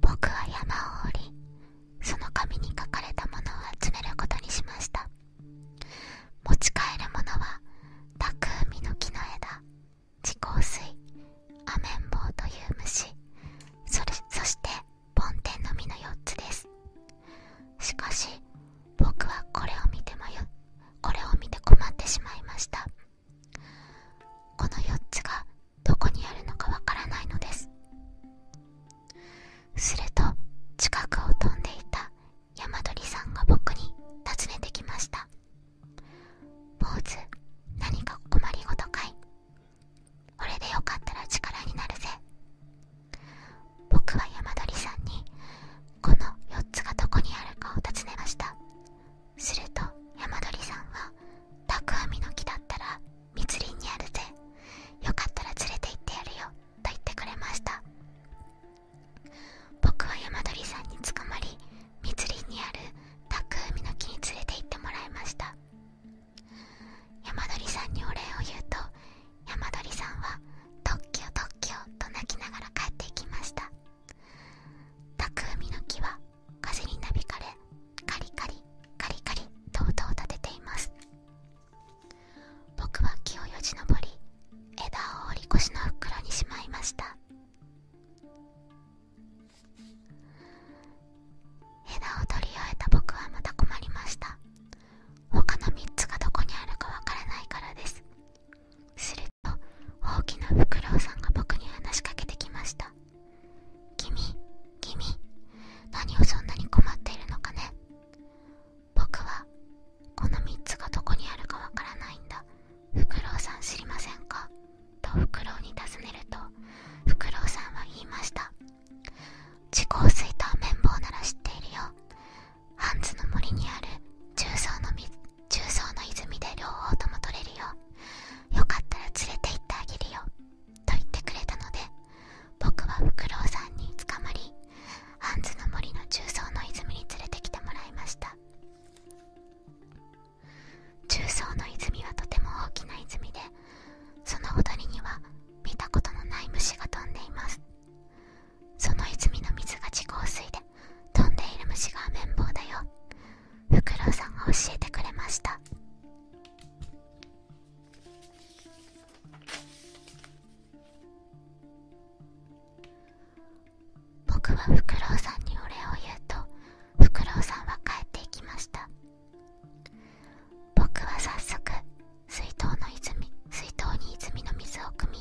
僕は山を降りその紙に書かれたものを集めることにしました持ち帰るものはタクウミの木の枝地香水アメンボウという虫そそして梵天の実の4つですしかし僕はこれを見て迷これを見て困ってしまいましたこの4つがどこにあるのかわからないのですすると近くを飛んでいた山鳥さんが僕に尋ねてきました「坊主何か困りごとかいこれでよかったら力になるぜ」僕は山鳥さんにこの4つがどこにあるかを尋ねましたすると山鳥さんは「た海の木だったら密林にあるぜよかったら連れて行ってやるよ」と言ってくれました僕は山鳥さんに捕まり密林にあるた海の木に連れて行ってもらいました山鳥さんにお礼を言うと山鳥さんは「特許特許」と泣きながら帰っていきましたたくの木は風になびかれカリカリカリカリとう音を立てています僕は木をよじ登り枝を折り越しの袋にしまいました枝を取り終えた僕はまた困りました他の3つがどこにあるかわからないからですすると大きなフクロウさんが僕に話しかけてきました「君君何をそんなに困っているのかね僕はこの3つがどこにあるかわからないんだフクロウさん知りませんか?」とフクロウに尋ねるとフクロウさんは言いました「地高水と綿棒なら知っているよハンズの森にある重曹の中層の泉で両方とも取れるよよかったら連れて行ってあげるよと言ってくれたので僕はフクロウさんに捕まりハンズの森の中層の泉に連れてきてもらいました中層の泉はとても大きな泉でそのほとりには見たことのない虫が飛んでいますその泉の水が地下水で飛んでいる虫が綿棒だよフクロウさんが教えてくれました僕はフクロウさんにお礼を言うとフクロウさんは帰っていきました僕は早速水筒の泉水筒に泉の水を汲み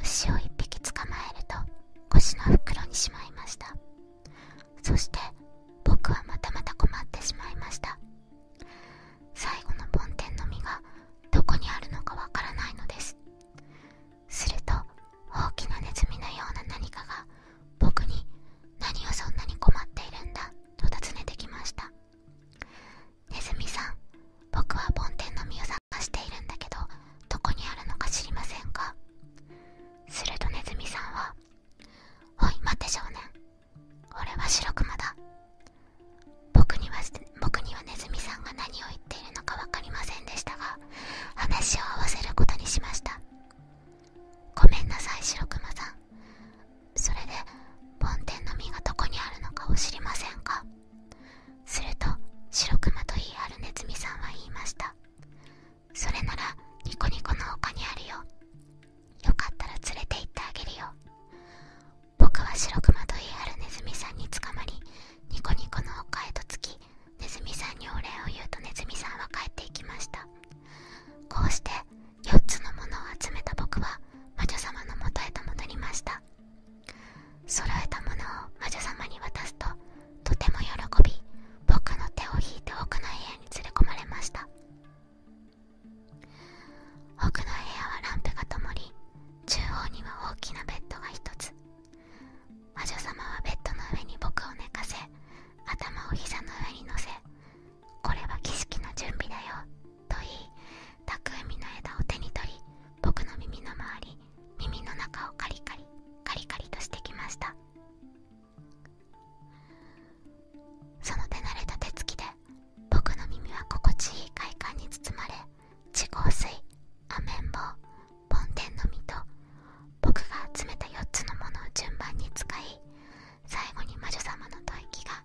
牛を一匹捕まえると腰の袋にしまいましたそして僕はまたまた困ってしまいました最後の梵天の実がどこにあるのかわからないのですすると大きなネズミのような何かが僕に何をそんなに困っているんだと尋ねてきましたネズミさん僕は梵天の実を探しているんだけどどこにあるのか知りませんかするとネズミさんは「おい待て少年俺は白熊だ僕には僕にはネズミさんが何を言っているのか分かりませんでしたが話を合わせることにしましたごめんなさい白熊さんそれで梵天の実がどこにあるのかを知りませんかするとシロクマと言い張るネズミさんは言いましたそれならニコニコの丘にあるよよかったら連れて行ってあげるよ僕は白熊と言いあるネズミさんに捕まりニコニコの丘へと着きネズミさんにお礼を言うとネズミさんは帰っていきましたこうして4つのものを集めた僕は魔女様のもとへと戻りました揃えたものを魔女様に渡すととても喜び僕の手を引いて奥の部屋に連れ込まれました奥の部屋はランプがともり中央には大きなベッドが一つ魔女様はベッドの上に僕を寝かせ頭を膝の上に乗せこれは儀式の準備だよと言い匠の枝を手に取り僕の耳の周り耳の中をカリカリカリカリとしてきましたその手慣れた手つきで僕の耳は心地いい快感に包まれ地香水アメンボボンテの実と僕が集めた4つのものを順番に使い最後に魔女様の吐息が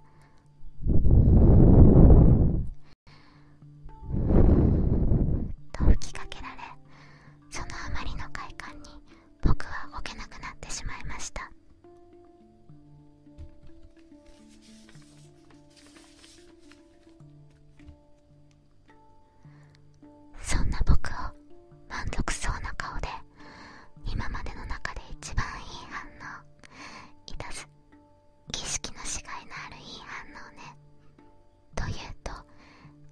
と吹きかけられそのあまりの快感に僕は動けなくなってしまいましたそんな僕を満足そうな顔で今までの中で一番いい反応いたず、儀式のしがいのあるいい反応ねと言うと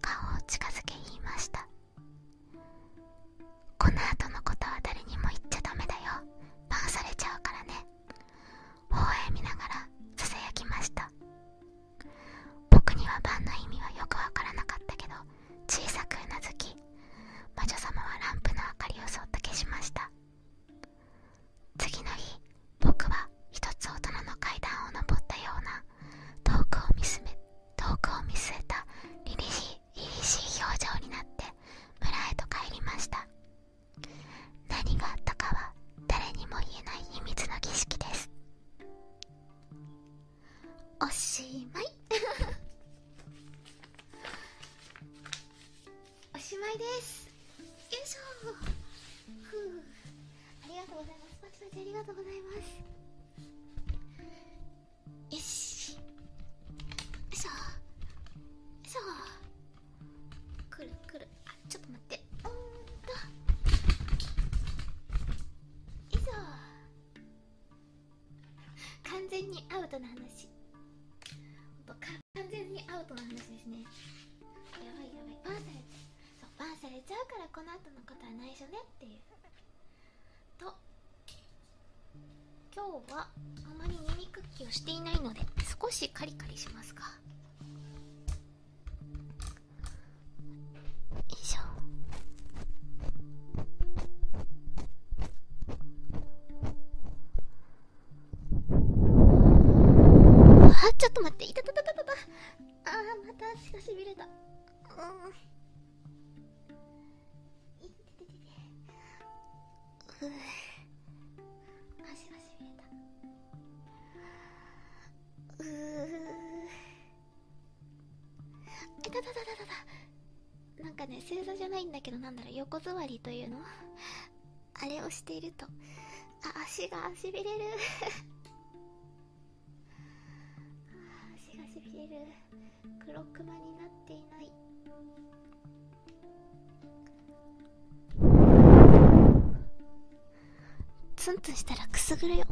顔を近づけ言いましたこの後のことは誰にも言っちゃダメだよバンされちゃうからね微笑見ながらささやきました僕にはバンの意味はよくわからなかったけど小さくうなずき魔女様はランプの明かりをそっと消しました次の日僕は一つ大人の階段を登ったような遠くを見すめ遠くを見据えた凛々しい凛々しい表情になって村へと帰りました何があったかは誰にも言えない秘密の儀式ですおしまい おしまいですよいしょふうありがとうございますよしそうそうくるくるあちょっと待ってうんといそう完全にアウトな話完全にアウトな話ですねやばいやばいバンされちゃうそうバンされちゃうからこの後のことは内緒ねっていうと今日はあまり耳クッキをしていないので少しカリカリしますかよいしょあちょっと待っていたたたたたたあまた足がしびれたうう足がしびれたうえだだだだだだなんかね正座じゃないんだけどなんだろう横座りというのあれをしているとあ足がしびれるあ足がしびる黒クマになっていないツンツンしたらくすぐるよ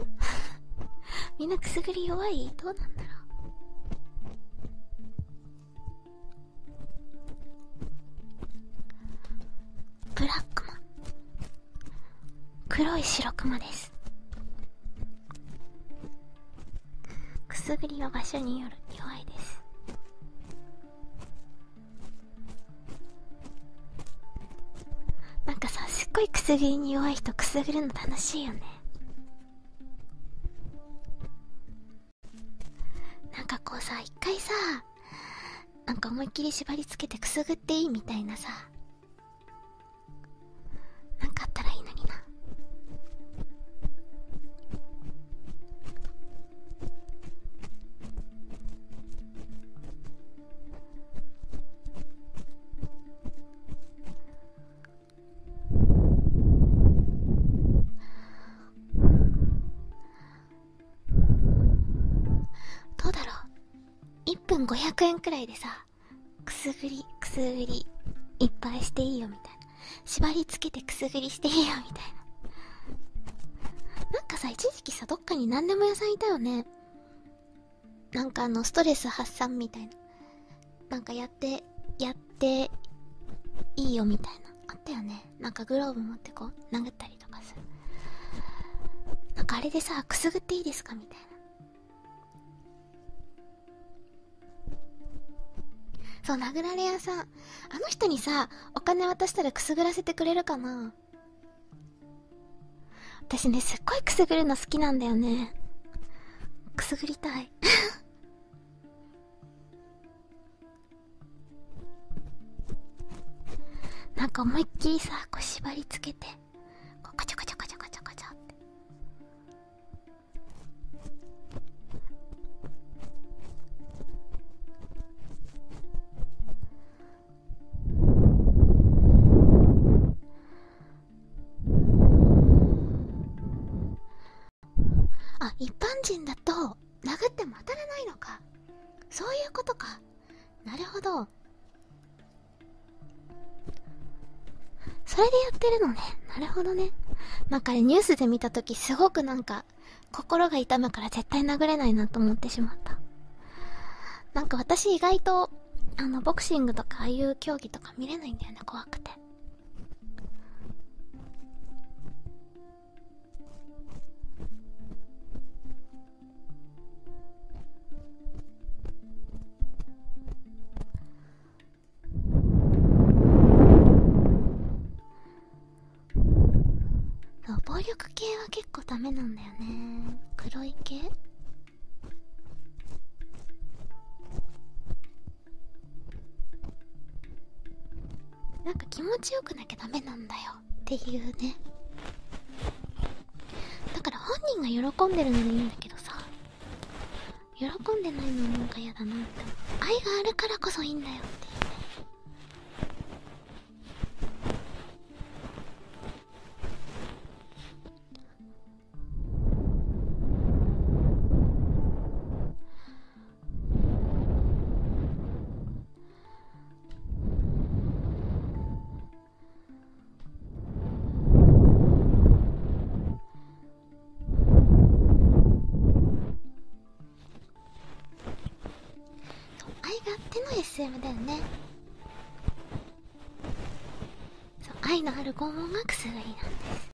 みんなくすぐり弱いどうなんだろうブラックマ黒い白クマですくすぐりは場所による弱いですなんかさすっごいくすぐりに弱い人くすぐるの楽しいよねなんかこうさ一回さなんか思いっきり縛りつけてくすぐっていいみたいなさなかあったらいいのになどうだろう1分500円くらいでさくすぐりくすぐりいっぱいしていいよみたいな縛りつけてくすぐりしていいよみたいななんかさ一時期さどっかに何でも屋さんいたよねなんかあのストレス発散みたいななんかやってやっていいよみたいなあったよねなんかグローブ持ってこう殴ったりとかさなんかあれでさくすぐっていいですかみたいなそう殴られ屋さんあの人にさお金渡したらくすぐらせてくれるかな私ねすっごいくすぐるの好きなんだよねくすぐりたい なんか思いっきりさこう縛りつけてこうガチャガチャガチャガチャガチャってあ一般人だと殴っても当たらないのかそういうことかなるほどそれでやってるのね。なるほどね。なんかニュースで見た時すごくなんか、心が痛むから絶対殴れないなと思ってしまった。なんか私意外と、あの、ボクシングとかああいう競技とか見れないんだよね、怖くて。そう暴力系は結構ダメなんだよね黒い系なんか気持ちよくなきゃダメなんだよっていうねだから本人が喜んでるのでいいんだけどさ喜んでないのなんか嫌だなって愛があるからこそいいんだよってあ愛があっての SM だよねそう愛のある拷うまくすぐりなんです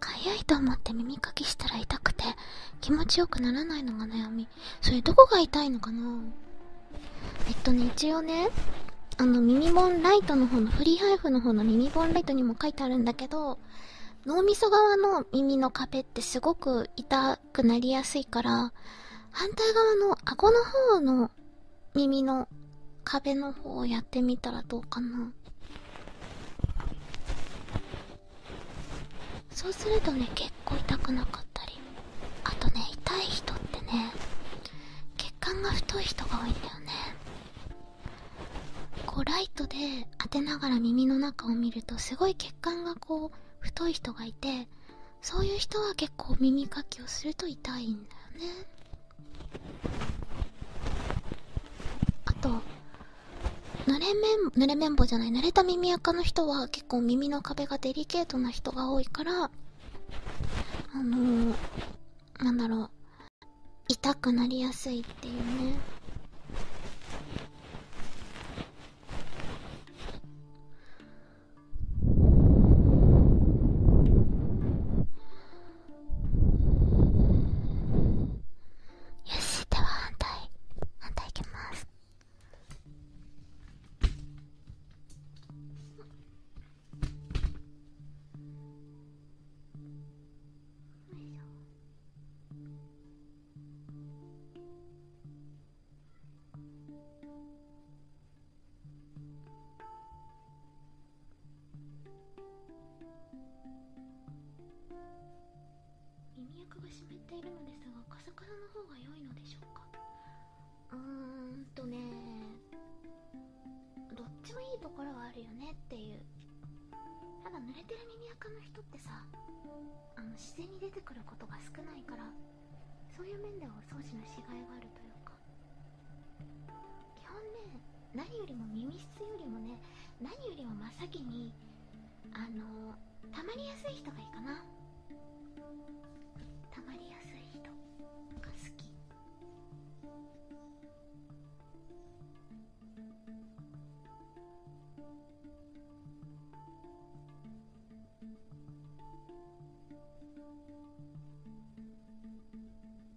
かゆいと思って耳かきしたら痛くて気持ちよくならないのが悩みそれどこが痛いのかなえっとね一応ねあの耳本ライトの方のフリーハイフの方の耳本ライトにも書いてあるんだけど脳みそ側の耳の壁ってすごく痛くなりやすいから反対側の顎の方の耳の壁の方をやってみたらどうかなそうするとね結構痛くなかったりあとね痛い人ってね血管が太い人が多いんだよねこうライトで当てながら耳の中を見るとすごい血管がこう太い人がいてそういう人は結構耳かきをすると痛いんだよねあと濡れめ濡れ綿棒じゃない濡れた耳垢の人は結構耳の壁がデリケートな人が多いからあのー、なんだろう痛くなりやすいっていうねよしでは反対反対いきますよいしょ。耳垢が湿っているのですがカサカサの方が良いのでしょうかうーんとねどっちもいいところはあるよねっていうただ濡れてる耳垢の人ってさあの自然に出てくることが少ないからそういう面ではお掃除のしがいがあるというか基本ね何よりも耳質よりもね何よりも真っ先にあのたまりやすい人がいいかなたまりやすい人が好き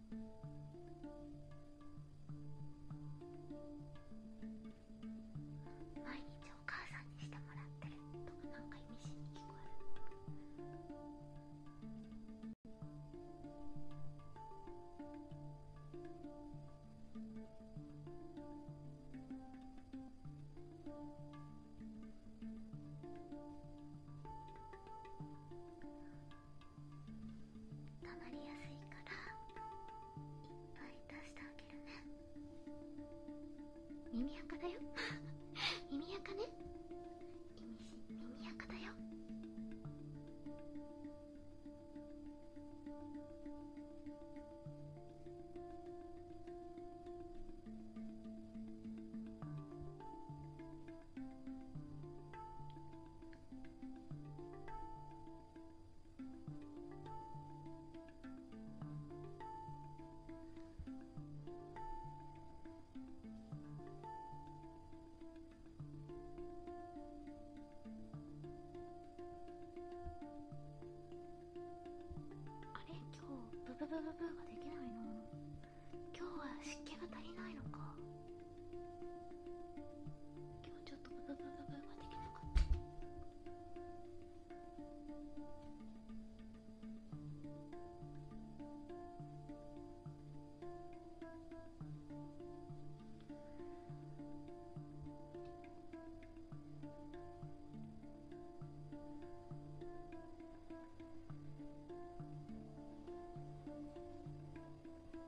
毎日お母さんにしてもらってるとかなんか意味深に聞こえる溜まりやすいからいっぱい出してあげるね耳垢だよ 耳垢ね耳垢だよあれ今日ブブブブブができないな今日は湿気が足りないのか。今日ちょっとブブブブブができなかった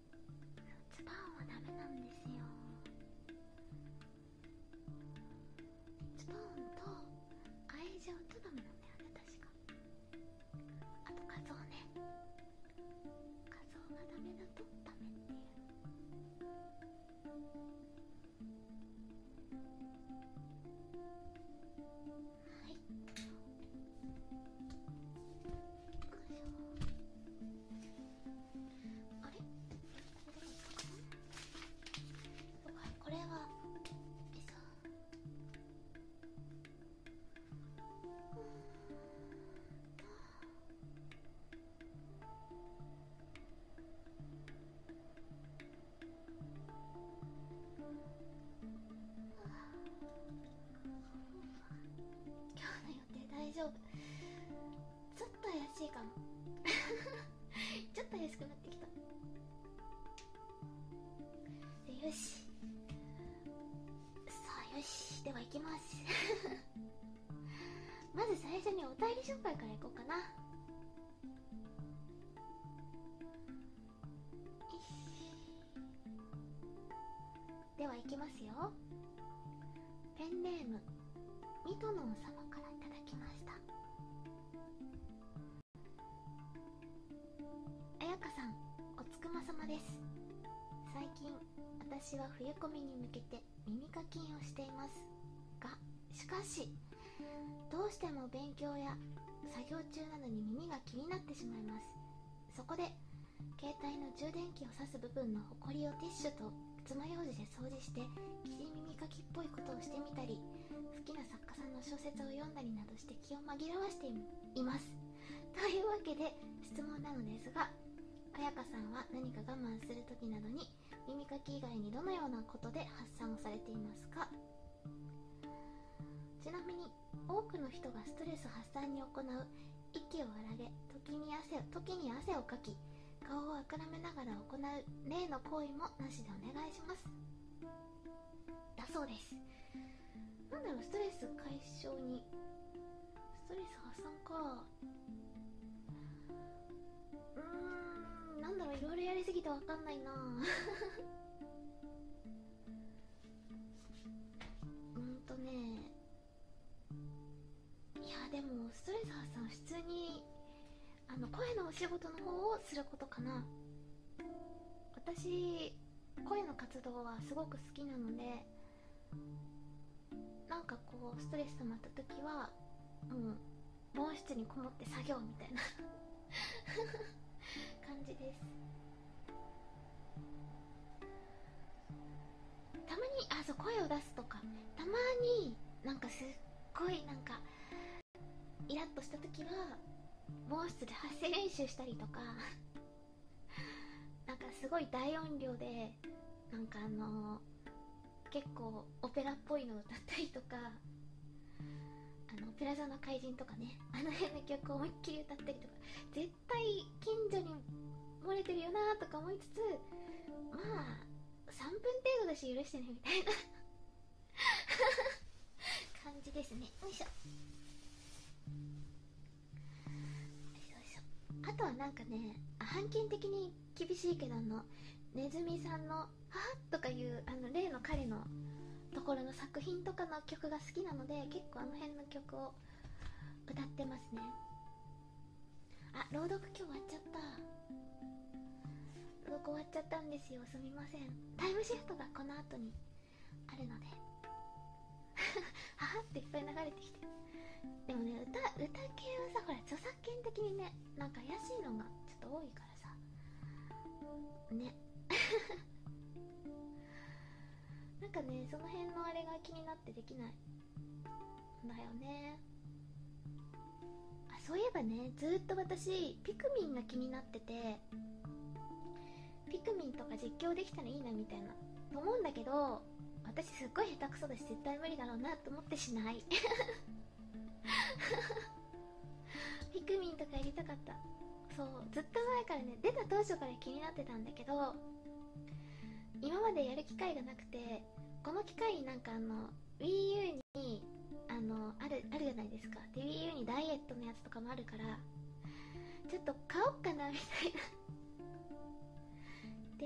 ズーンはダメなんですよズーンと愛情とダメなんだよね確かあと画像ね画像がダメだとダメっていうはいあれこれは餌今日の予定大丈夫ちょっと怪しいかも ちょっと怪しくなってきたよしさあよしでは行きます まず最初にお便り紹介からいこうかなではいきますよペンネームミトノン様からいただきましたあやかさんおつくま様です最近私は冬コミに向けて耳かきんをしていますがしかしどうしても勉強や作業中などに耳が気になってしまいますそこで携帯の充電器を刺す部分のホコリをティッシュと爪楊枝で掃除して霧耳かきっぽいことをしてみたり好きな作家さんの小説を読んだりなどして気を紛らわしていますというわけで質問なのですが彩香さんは何か我慢する時などに耳かき以外にどのようなことで発散をされていますかちなみに多くの人がストレス発散に行う息を荒げ時に汗を時に汗をかき顔をあくらめながら行う例の行為もなしでお願いしますだそうですなんだろうストレス解消にストレス発散かうんなんだろういろいろやりすぎてわかんないな うんとねいやでもストレザーさん普通にあの声のお仕事の方をすることかな私声の活動はすごく好きなのでなんかこうストレス溜まった時はもう防音室にこもって作業みたいな 感じですたまにあそう声を出すとかたまになんかすっごいなんかイラッとした時は毛筆で発声練習したりとか なんかすごい大音量でなんかあの結構オペラっぽいのを歌ったりとかあのオペラ座の怪人とかねあの辺の曲を思いっきり歌ったりとか近所に漏れてるよなとか思いつつまあ3分程度だし許してねみたいな 感じですねよいしょあとはなんかね半券的に厳しいけどあのねずみさんの「はとかいうあの例の彼のところの作品とかの曲が好きなので結構あの辺の曲を歌ってますねあ朗読今日終わっちゃった朗読終わっちゃったんですよすみませんタイムシフトがこの後にあるのではは っていっぱい流れてきてでもね歌歌系はさほら著作権的にねなんか怪しいのがちょっと多いからさね なんかねその辺のあれが気になってできないんだよねあそういえばねずっと私ピクミンが気になっててピクミンとか実況できたらいいなみたいなと思うんだけど私すっごい下手くそだし絶対無理だろうなと思ってしない ピクミンとかやりたかったそうずっと前からね出た当初から気になってたんだけど今までやる機会がなくてこの機会になんかあの WiiU にあのあるあるじゃないですかで WiiU にダイエットのやつとかもあるからちょっと買おっかなみたいな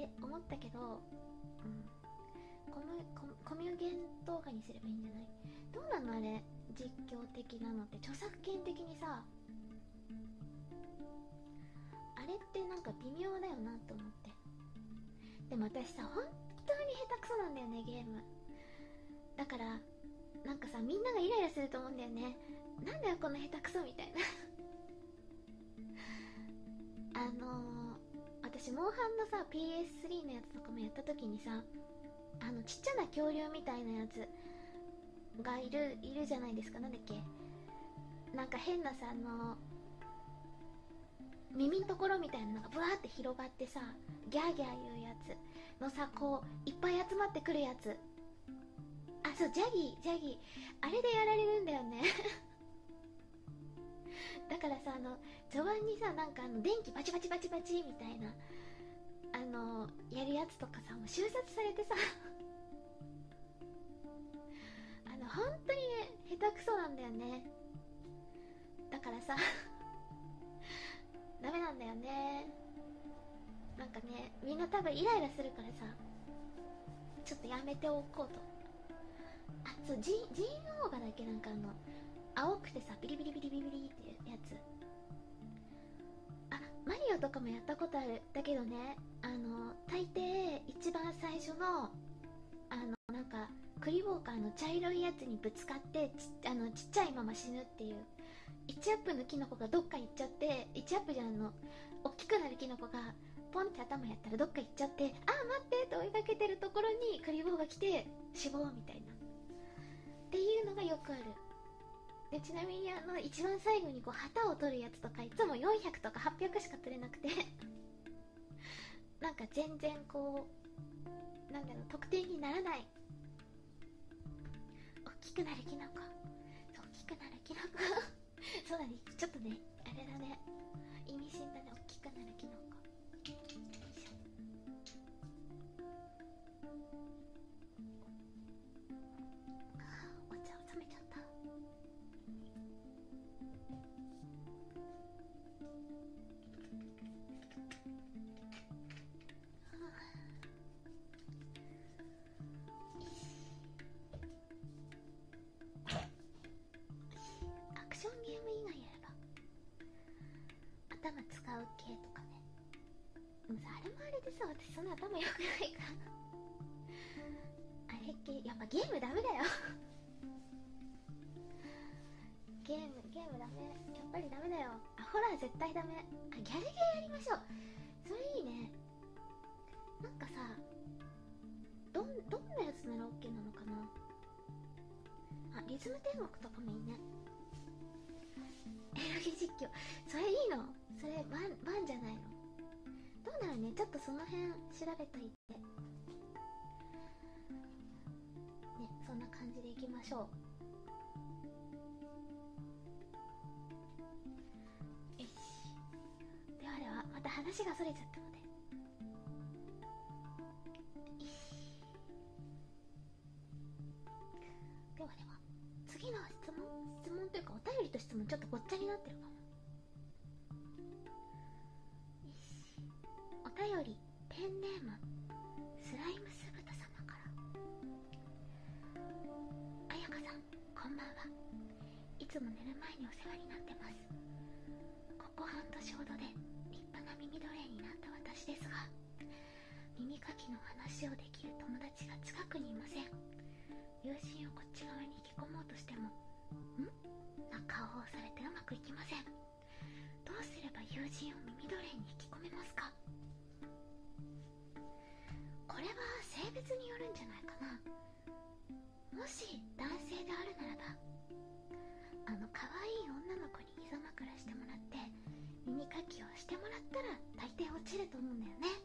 って思ったけど、うん、コミコミュゲン動画にすればいいんじゃないどうなのあれ実況的なのって著作権的にさあれってなんか微妙だよなと思ってでも私さ本当に下手くそなんだよねゲームだからなんかさみんながイライラすると思うんだよねなんだよこの下手くそみたいな あの私モンハンのさ PS3 のやつとかもやった時にさあのちっちゃな恐竜みたいなやつがいるいるじゃないですか何だっけなんか変なさあの耳のところみたいなのがブワーって広がってさギャーギャー言うやつのさこういっぱい集まってくるやつあそうジャギージャギーあれでやられるんだよね だからさあの序盤にさなんかあの電気バチバチバチバチみたいなあのやるやつとかさもう収殺されてさあの本当に下手くそなんだよねだからさダメなんだよねなんかねみんな多分イライラするからさちょっとやめておこうとあそうジジンオーガだけなんかあの青くてさビリビリビリビリっていうやつあマリオとかもやったことあるだけどねあの大抵一番最初のあのなんかクリボーカーの茶色いやつにぶつかってちあのちっちゃいまま死ぬっていう1アップのキノコがどっか行っちゃって1アップじゃんの大きくなるキノコがポンって頭やったらどっか行っちゃってあー待ってって追いかけてるところにクリボーが来て死亡みたいなっていうのがよくあるでちなみにあの一番最後にこう旗を取るやつ。やつとかいつも400とか800しか取れなくて なんか全然こうなんだろう特定にならない大きくなるキノコ大きくなるキノコ そうだねちょっとねあれだね意味深だね大きくなるキノコよいしょああ、お茶を冷めちゃったアクションゲーム以外やれば頭使う系とかねでもさあれもあれでさ私そんな頭良くないからあれっきやっぱゲームダメだよゲームゲームダメやっぱりダメだよあホラ絶対ダメあギャルゲーやりましょうそれいいねなんかさどんどんなやつならオッケーなのかなあリズム天国とかもいいねエロゲ実況それいいのそれワンワンじゃないのどうなるねちょっとその辺調べといてねそんな感じでいきましょうよしではではまた話がそれちゃったのでではでは次の質問質問というかお便りと質問ちょっとごっちゃになってるかもしお便りペンネームスライムす酢豚様から綾香さんこんばんはいつも寝る前にお世話になってますここ半年ほどで立派な耳奴隷になった私ですが耳かきの話をできる友達が近くにいません友人をこっち側に引き込もうとしても「ん?」顔をされてうまくいきませんどうすれば友人を耳奴隷に引き込めますかこれは性別によるんじゃないかなもし男性であるならばあの可愛い女の子に膝枕してもらって耳かきをしてもらったら大抵落ちると思うんだよね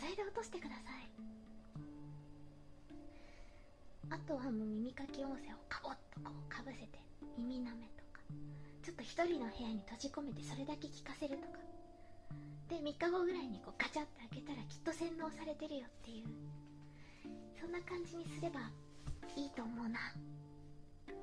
それで落としてくださいあとはもう耳かき音声をカボッとこうかぶせて耳なめとかちょっと1人の部屋に閉じ込めてそれだけ聞かせるとかで3日後ぐらいにこうガチャって開けたらきっと洗脳されてるよっていうそんな感じにすればいいと思うなひ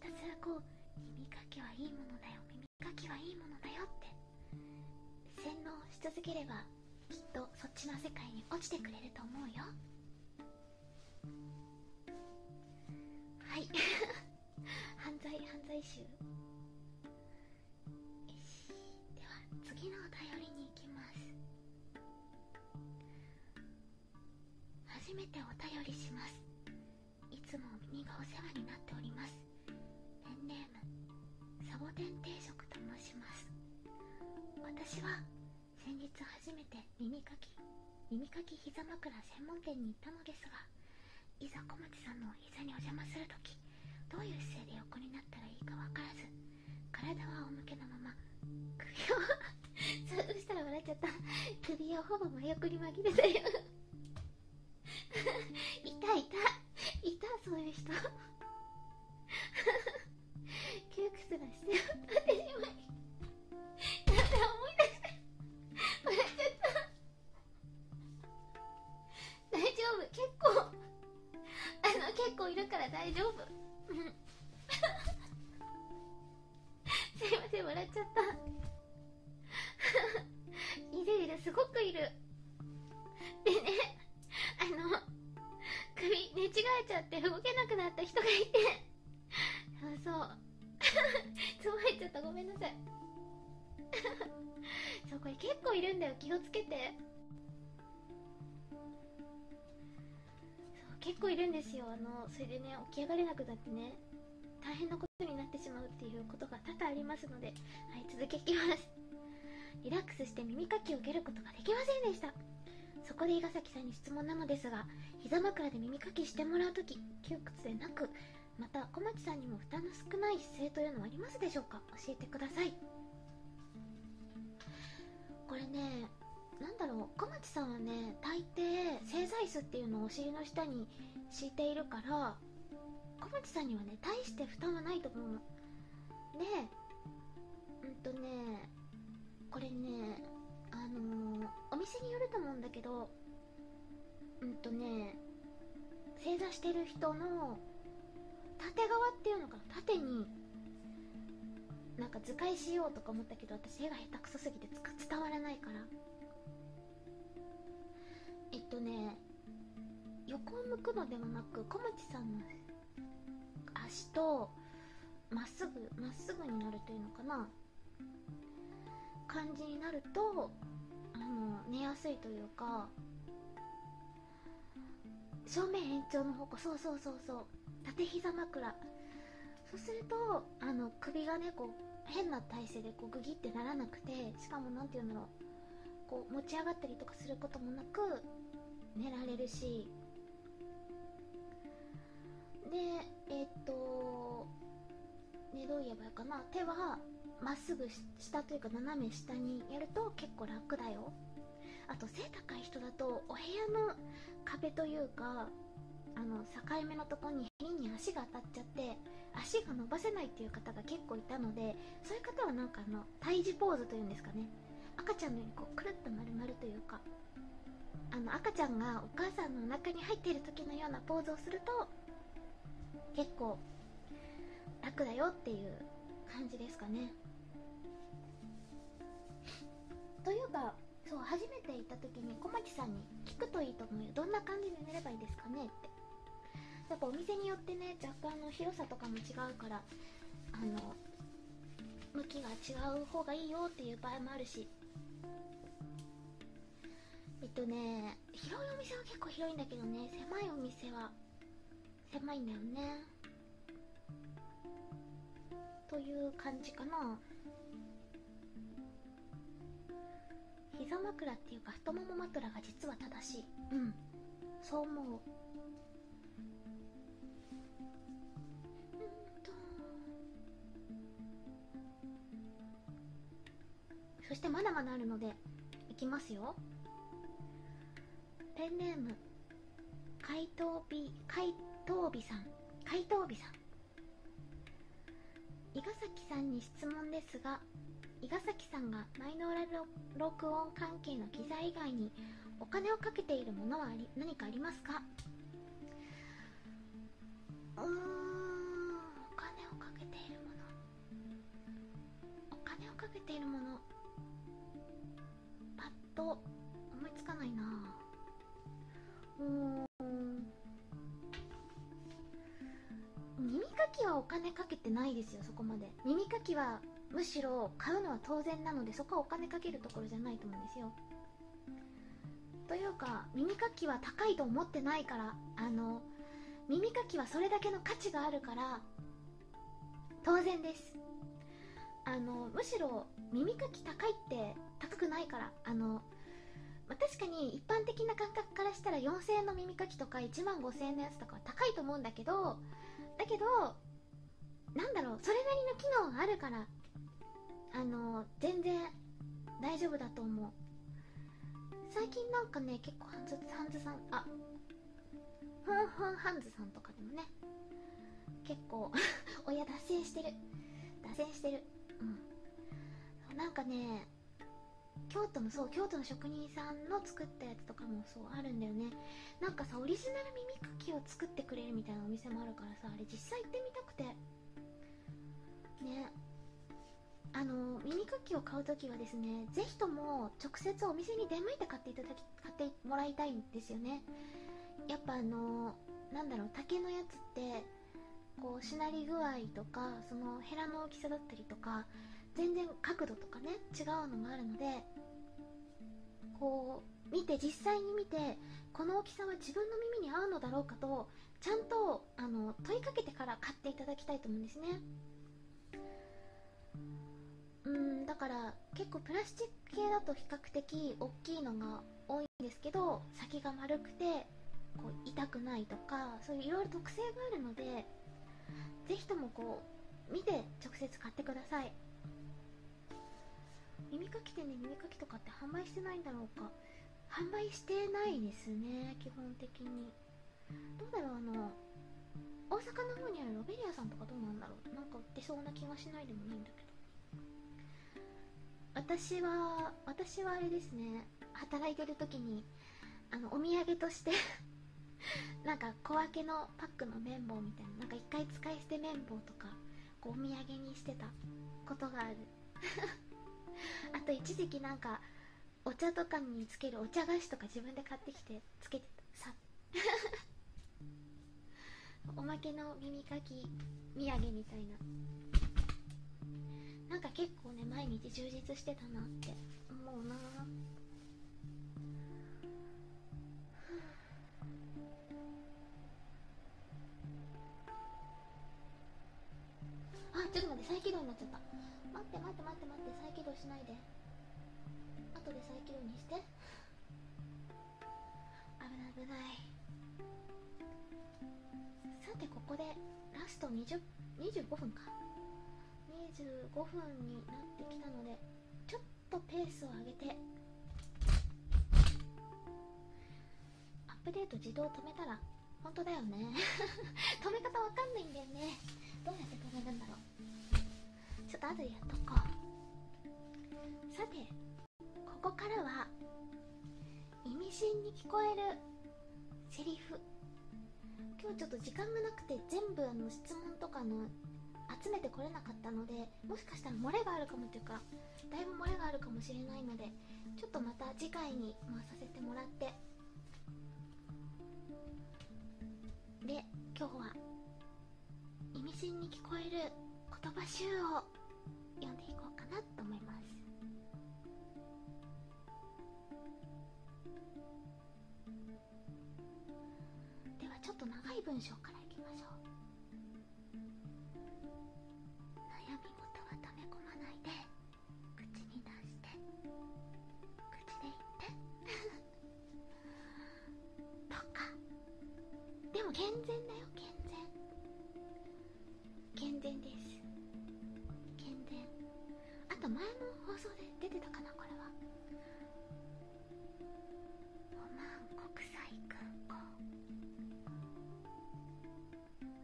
たすらこう耳かきはいいものだよ耳磨きはいいものだよって洗脳し続ければきっとそっちの世界に落ちてくれると思うよはい 犯罪犯罪集よしでは次のお便りに行きます初めてお便りしますいつも耳がお世話になっておりますペンネームサボテン定食と申します私は先日初めて耳かき耳かき膝枕専門店に行ったのですがいざ小町さんのお膝にお邪魔するときどういう姿勢で横になったらいいか分からず体は仰向けのまま首をずっとしたら笑っちゃった首をほぼ真横に紛れて。よ いたいたいたそういう人窮屈な姿勢を立てしまいだって思い出して笑っちゃった大丈夫結構あの結構いるから大丈夫うん すいません笑っちゃったいるいるすごくいるでねあの首寝違えちゃって動けなくなった人がいてそう そつまっちゃったごめんなさい そうこれ結構いるんだよ気をつけてそう結構いるんですよあのそれでね起き上がれなくなってね大変なことになってしまうっていうことが多々ありますので、はい、続けきますリラックスして耳かきを受けることができませんでしたそこで伊賀崎さんに質問なのですが膝枕で耳かきしてもらう時、窮屈でなくまた小町さんにも負担の少ない姿勢というのはありますでしょうか教えてくださいこれね何だろう小町さんはね大抵製剤椅子っていうのをお尻の下に敷いているから小町さんにはね大して負担はないと思うのでうんとねこれねあのお店によると思うんだけどうんとね正座してる人の縦側っていうのかな縦になんか図解しようとか思ったけど私絵が下手くそすぎて伝わらないからえっとね横を向くのではなく小町さんの足とまっすぐまっすぐになるというのかな感じになるとあの寝やすいというか正面延長の方向そうそうそうそう縦膝枕そうするとあの首がねこう変な体勢でこうグギってならなくてしかも何て言うの。こう持ち上がったりとかすることもなく寝られるしでえっ、とねどう言えばいかな手はまっすぐ下というか斜め下にやると結構楽だよあと背高い人だとお部屋の壁というかあの境目のとこににに足が当たっちゃって足が伸ばせないっていう方が結構いたのでそういう方はなんかあの胎児ポーズというんですかね赤ちゃんのようにこうくるっと丸るというかあの赤ちゃんがお母さんのお腹に入っている時のようなポーズをすると結構楽だよっていう感じですかねというかそう初めて行った時に小牧さんに聞くといいと思うよどんな感じで寝ればいいですかねってやっぱお店によってね若干の広さとかも違うからあの向きが違う方がいいよっていう場合もあるしえっとね広いお店は結構広いんだけどね狭いお店は狭いんだよねという感じかな膝枕っていうか太もも枕が実は正しいうんそう思ううんとそしてまだまだあるのでいきますよペンネーム怪盗美怪盗美さん怪盗美さん伊賀崎さんに質問ですがは伊賀崎さんがマイノーラル録音関係の機材以外にお金をかけているものはあり何かありますかーんお金をかけているものおのパッと思いつ耳かきはお金かけてないですよそこまで耳かきはむしろ買うのは当然なのでそこはお金かけるところじゃないと思うんですよというか耳かきは高いと思ってないからあの耳かきはそれだけの価値があるから当然ですあのむしろ耳かき高いって高くないからあの、ま確かに一般的な感覚からしたら4000円の耳かきとか1万5000円のやつとかは高いと思うんだけどだけどなんだろうそれなりの機能があるからあの全然大丈夫だと思う最近なんかね結構ハンズハンズさんあふんふんハンズさんとかでもね結構親 脱線してる脱線してるうんなんかね京都のそう京都の職人さんの作ったやつとかもそうあるんだよねなんかさオリジナル耳かきを作ってくれるみたいなお店もあるからさあれ実際行ってみたくてねあの耳かきを買う時はですね是非とも直接お店に出向いて買っていただき買ってもらいたいんですよねやっぱあのなんだろう竹のやつってこうしなり具合とかそのヘラの大きさだったりとか全然角度とかね違うのもあるのでこう見て実際に見てこの大きさは自分の耳に合うのだろうかとちゃんとあの問いかけてから買っていただきたいと思うんですねうんだから結構プラスチック系だと比較的大きいのが多いんですけど先が丸くてこう痛くないとかそういういろいろ特性があるのでぜひともこう見て直接買ってください耳かき店で、ね、耳かきとかって販売してないんだろうか販売してないですね基本的にどうだろうあの大阪の方にあるロベリアさんとかどうなんだろうなんか売ってそうな気がしないでもないんだけど私は私はあれですね働いてる時にあのお土産として なんか小分けのパックの綿棒みたいななんか一回使い捨て綿棒とかこうお土産にしてたことがある あと一時期なんかお茶とかにつけるお茶菓子とか自分で買ってきてつけてたさ おまけの耳かき土産みたいななんか結構ね毎日充実してたなって思うなあちょっと待って再起動になっちゃった待って待って待って待って再起動しないで後で再起動にして危ない危ないさてここでラスト20 25分か25分になってきたのでちょっとペースを上げてアップデート自動止めたら本当だよね 止め方わかんないんだよねどうやって止めるんだろうちょっと後でやっとこうさてここからは意味深に聞こえるセリフ今日ちょっと時間がなくて全部あの質問とかの集めてこれなかったのでもしかしたら漏れがあるかもというかだいぶ漏れがあるかもしれないのでちょっとまた次回に回させてもらってで今日は意味深に聞こえる言葉集を読んでいこうかなと思いますではちょっと長い文章からいきましょう悩み事は溜め込まないで口に出して口で言って とかでも健全だよ健全健全です健全あと前の放送で出てたかなこれはオマーン国際空港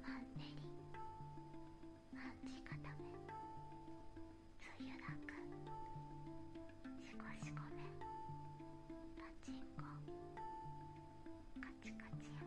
マンネリマンチ固めつゆだくしこしこめパチンコカチカチ山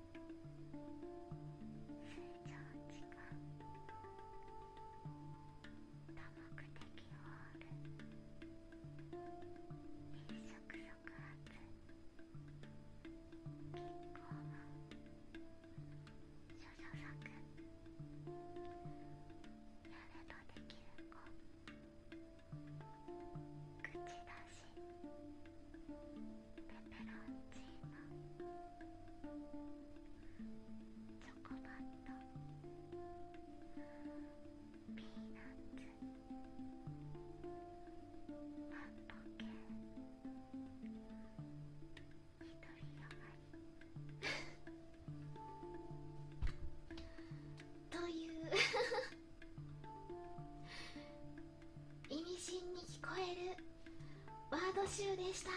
成長期間多目的ホール変色抑圧キッコー諸々作やればできる子口出しシペペロンチーノチョコバットピーナッツパンポケ一人よがりという 意味深に聞こえるワード集でした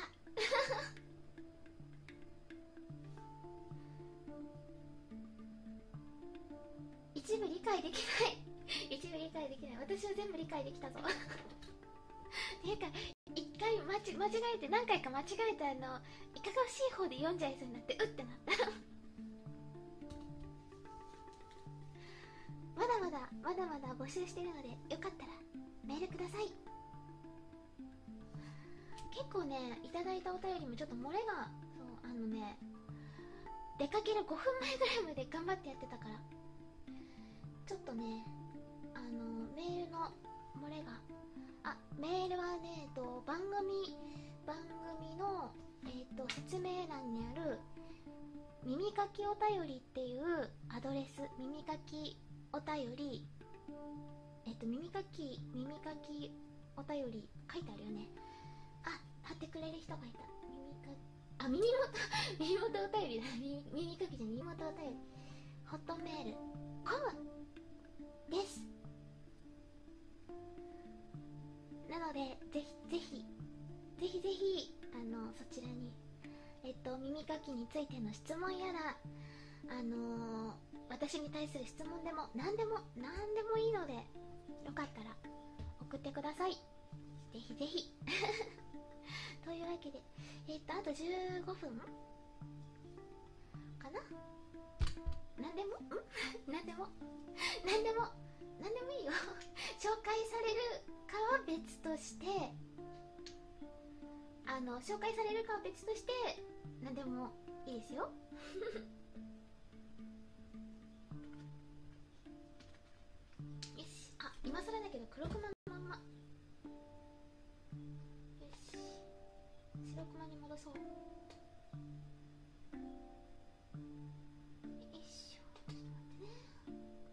一部理解できない 一部理解できない私は全部理解できたぞっ ていうか一回間違えて何回か間違えてあのいかがわしい方で読んじゃいそうになってうってなったまだまだまだまだ募集してるのでよかったらメールください結構ねいただいたお便りもちょっと漏れがそうあのね出かける5分前ぐらいまで頑張ってやってたからちょっとねあのメールの漏れがあメールはね、えっと、番組番組の、えっと、説明欄にある耳かきお便りっていうアドレス耳かきお便りえっと耳かき耳かきお便り書いてあるよねあ貼ってくれる人がいた耳かきあ耳元 耳元お便りだ耳かきじゃ耳元お便りホットメールコムですなのでぜひぜひぜひぜひあのそちらにえっと、耳かきについての質問やら、あの私に対する質問でも何でも何でもいいのでよかったら送ってくださいぜひぜひ というわけでえっとあと15分かな何でもん 何でも 何でも何でもいいよ 紹介されるかは別としてあの紹介されるかは別として何でもいいですよ よしあ今更だけど黒熊のまんまよし白熊に戻そうよいしょちょっと待ってね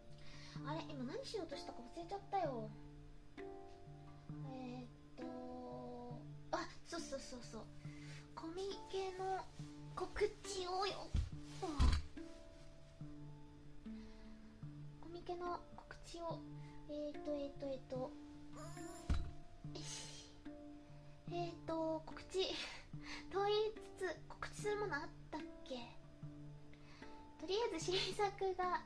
あれ今何しようとしたか忘れちゃったよえっとあそうそうそうそうコミケの告知をよコミケの告知をえっとえっとえっとえっと告知 と言いつつ告知するものあったっけとりあえず新作が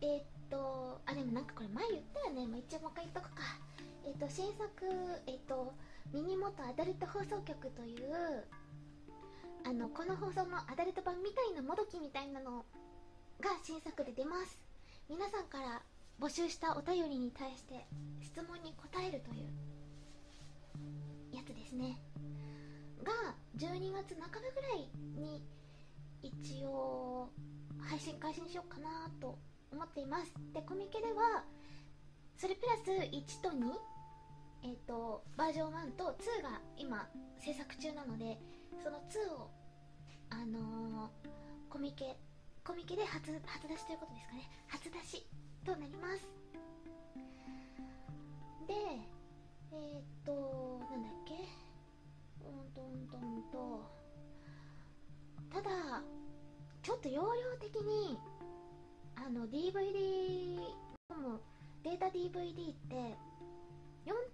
えっとあでもなんかこれ前言ったよね、ま一応もう一回言っとくかえっと新作えっとミニモトアダルト放送局というあのこの放送のアダルト版みたいなもどきみたいなのが新作で出ます皆さんから募集したお便りに対して質問に答えるというやつですねが12月半ばぐらいに一応配信開始にしようかなと思っていますでコミケではそれプラス1と2えっ、とバージョン1と2が今制作中なのでその2をあのコミケコミケで初出しということですかね初出しとなりますでえっとなんだっけうんとんとんとただちょっと容量的にあの DVD もデータ DVD って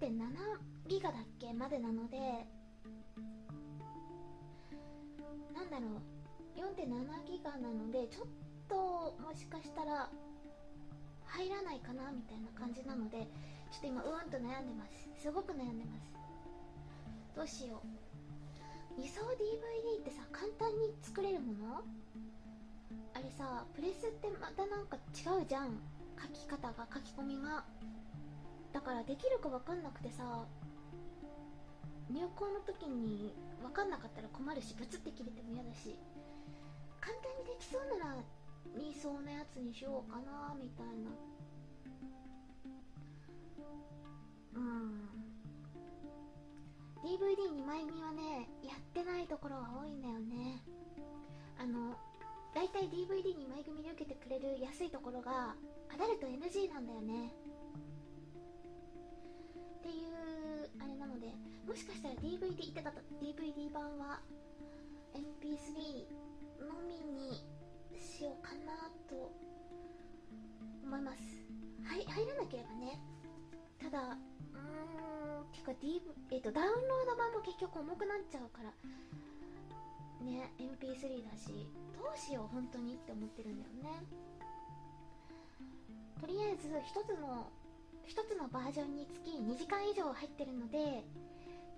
4.7ギガだっけまでなのでなんだろう4.7ギガなのでちょっともしかしたら入らないかなみたいな感じなのでちょっと今うわんと悩んでますすごく悩んでますどうしよう2層 DVD ってさ簡単に作れるものあれさプレスってまたなんか違うじゃん書き方が書き込みがだからできるか分かんなくてさ入校の時に分かんなかったら困るしブツって切れても嫌だし簡単にできそうならにそのやつにしようかなみたいなうん DVD2 枚組はねやってないところが多いんだよねあのだいたい DVD2 枚組で受けてくれる安いところがアダルト NG なんだよねっていうあれなのでもしかしたら DVD 行ってた DVD 版は MP3 のみにしようかなと思いますはい入らなければねただうーんてか、D えーと、とダウンロード版も結局重くなっちゃうからね MP3 だしどうしよう本当にって思ってるんだよねとりあえず1つの1つのバージョンにつき2時間以上入ってるので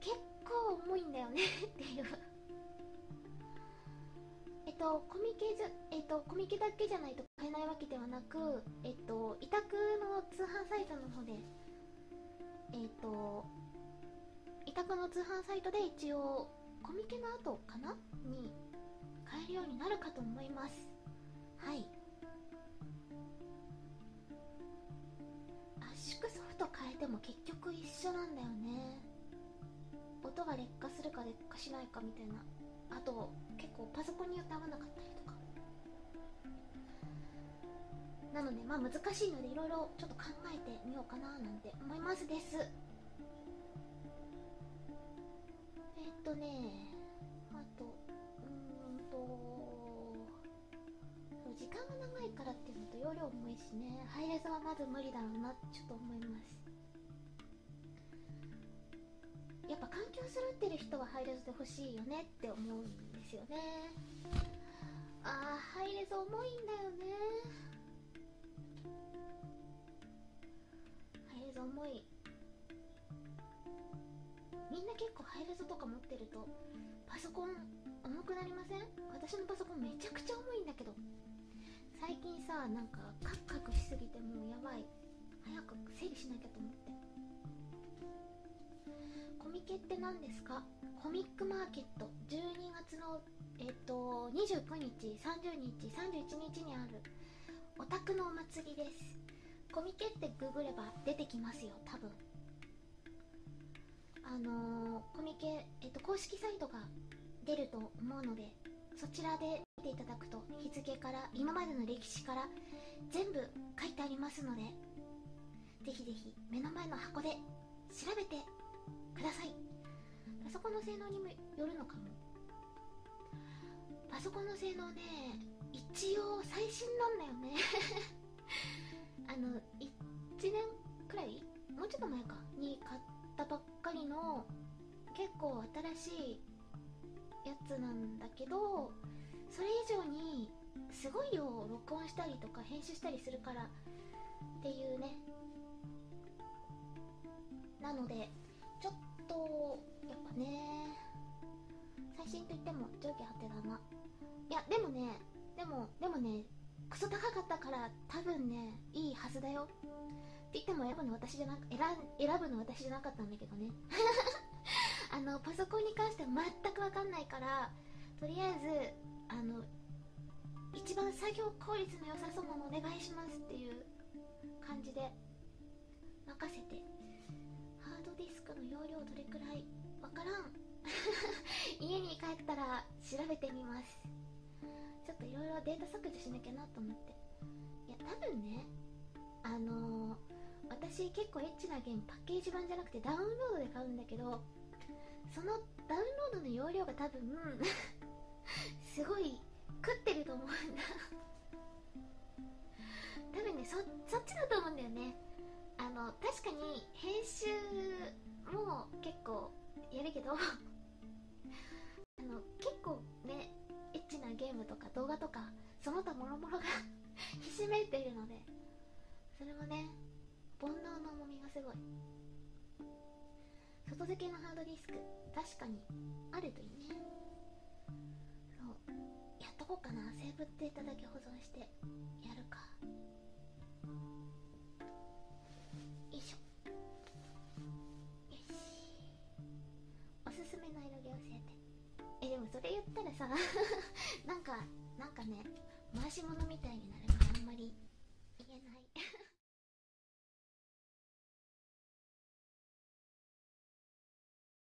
結構重いんだよね っていうえっとコミケえっと、コミケだけじゃないと買えないわけではなくえっと委託の通販サイトの方でえっと委託の通販サイトで一応コミケの後かなに買えるようになるかと思いますはい圧縮ソフト変えても結局一緒なんだよね音が劣化するか劣化しないかみたいなあと結構パソコンによって合わなかったりとかなのでまあ難しいのでいろいろちょっと考えてみようかななんて思いますですえっとねあとうんと時間が長いからっていうのと容量重いしねハイレはまず無理だろうなってちょっと思いますやっぱ環境揃ってる人はハイレで欲しいよねって思うんですよねああ、ハイレ重いんだよねハイレ重いみんな結構ハイレゾとか持ってるとパソコン重くなりません私のパソコンめちゃくちゃ重いんだけど最近さなんかカクカクしすぎてもうやばい早く整理しなきゃと思ってコミケって何ですかコミックマーケット12月のえっと29日30日31日にあるお宅のお祭りですコミケってググれば出てきますよ多分あのコミケ、えっと、公式サイトが出ると思うのでそちらで見ていただくと日付から今までの歴史から全部書いてありますのでぜひぜひ目の前の箱で調べてくださいパソコの性能にもよるのかもパソコンの性能ね一応最新なんだよね あの1年くらいもうちょっと前かに買ったばっかりの結構新しいやつなんだけどそれ以上にすごい量録音したりとか編集したりするからっていうねなのでちょっとやっぱね最新といっても上下ハてナないやでもねでもでもねクソ高かったから多分ねいいはずだよって言っても選ぶの私じゃなく選ぶの私じゃなかったんだけどね あのパソコンに関しては全く分かんないからとりあえずあの一番作業効率の良さそうなのお願いしますっていう感じで任せてハードディスクの容量どれくらいわからん 家に帰ったら調べてみますちょっといろいろデータ削除しなきゃなと思っていや多分ねあの私結構エッチなゲームパッケージ版じゃなくてダウンロードで買うんだけどそのダウンロードの容量が多分 すごい食ってると思うんだ多分ねそっちだと思うんだよねあの確かに編集も結構やるけど あの結構ねエッチなゲームとか動画とかその他もろもろが ひしめいているのでそれもね煩悩の重みがすごい外付けのハードディスク確かにあるといいねそうやっとこうかなセーブっデーただけ保存してやるかよいしょよしおすすめの色毛教えてえでもそれ言ったらさ なんかなんかね回し物みたいになるからあんまり言えない